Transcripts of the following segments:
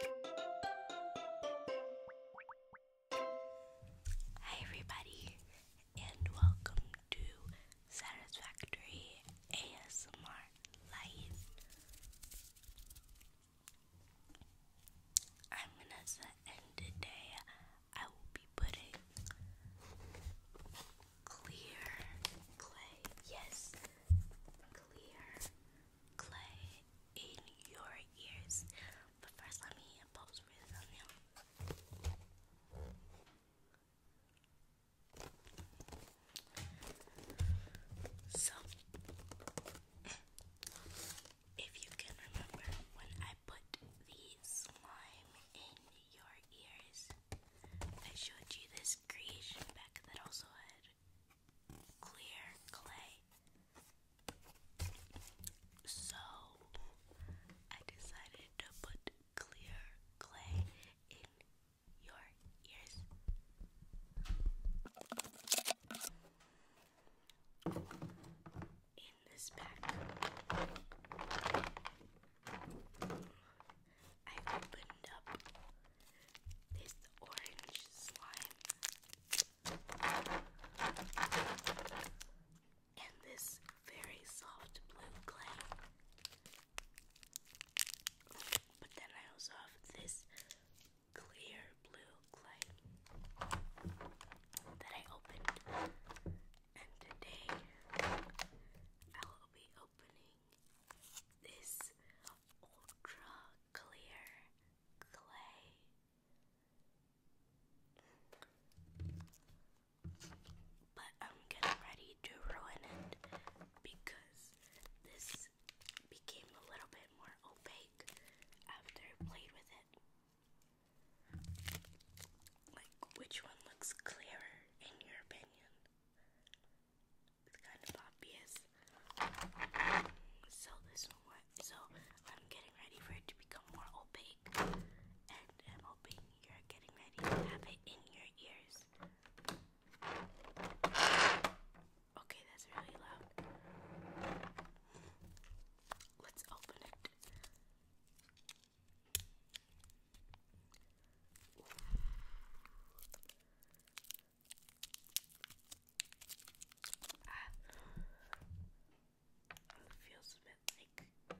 Hi, everybody, and welcome to Satisfactory ASMR Live. I'm gonna set and today I will be putting clear clay. Yes, clear clay in your ears. But first, let me pose for So, if you can remember when I put the slime in your ears, I showed you this creation back that also had clear clay. So I decided to put clear clay in your ears. In this pack, I opened up this orange slime and this very soft blue clay. But then I also have this clear blue clay that I opened, and today I will be opening this ultra clear clay. But I'm getting ready to ruin it because this became a little bit more opaque after I played with it. Like, which one looks clearer in your opinion? It's kind of obvious. So this one works. So I'm getting ready for it to become more opaque. And I'm uh, hoping you're getting ready to have it in your ears. Okay, that's really loud. Let's open it. Ah. It feels like Play-Doh.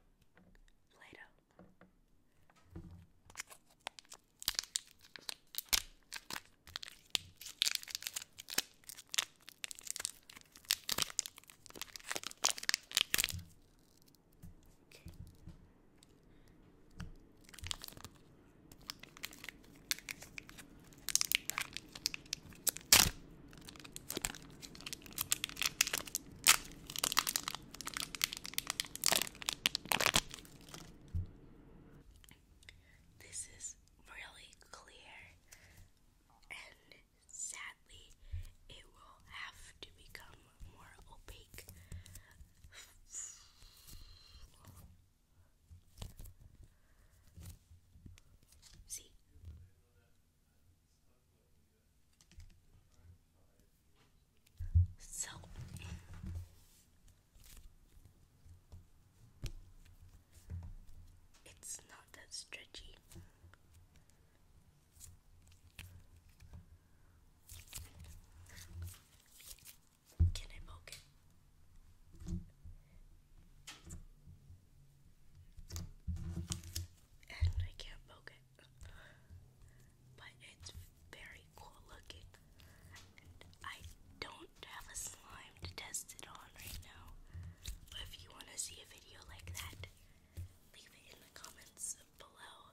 This is really clear, and sadly, it will have to become more opaque. See? So it's not that stretchy. Can I poke it? And I can't poke it. But it's very cool looking. I don't have a slime to test it on right now. But if you want to see a video like that, leave it in the comments below.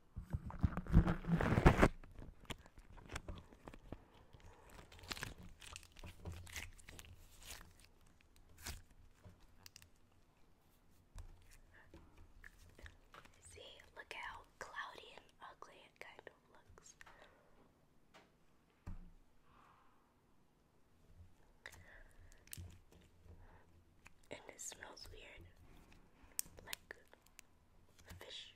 See, look how cloudy and ugly it kind of looks. And it smells weird. Like Fish.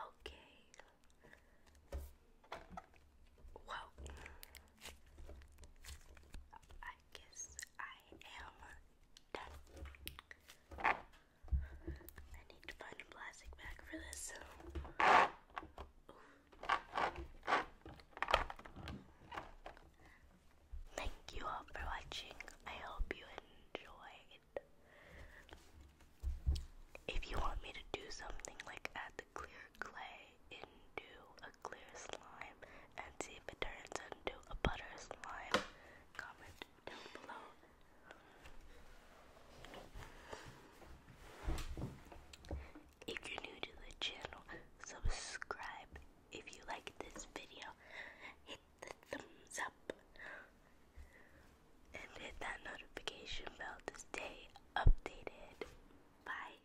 Okay. Wow. I guess I am I need to find a plastic bag for this. Thank you all for watching. I hope you enjoyed. If you want me to do something like add the clear clay into clear slime and see if it turns into a butter slime. Comment down below. If you're new to the channel, subscribe. If you like this video, hit the thumbs up and hit that notification bell to stay updated. Bye.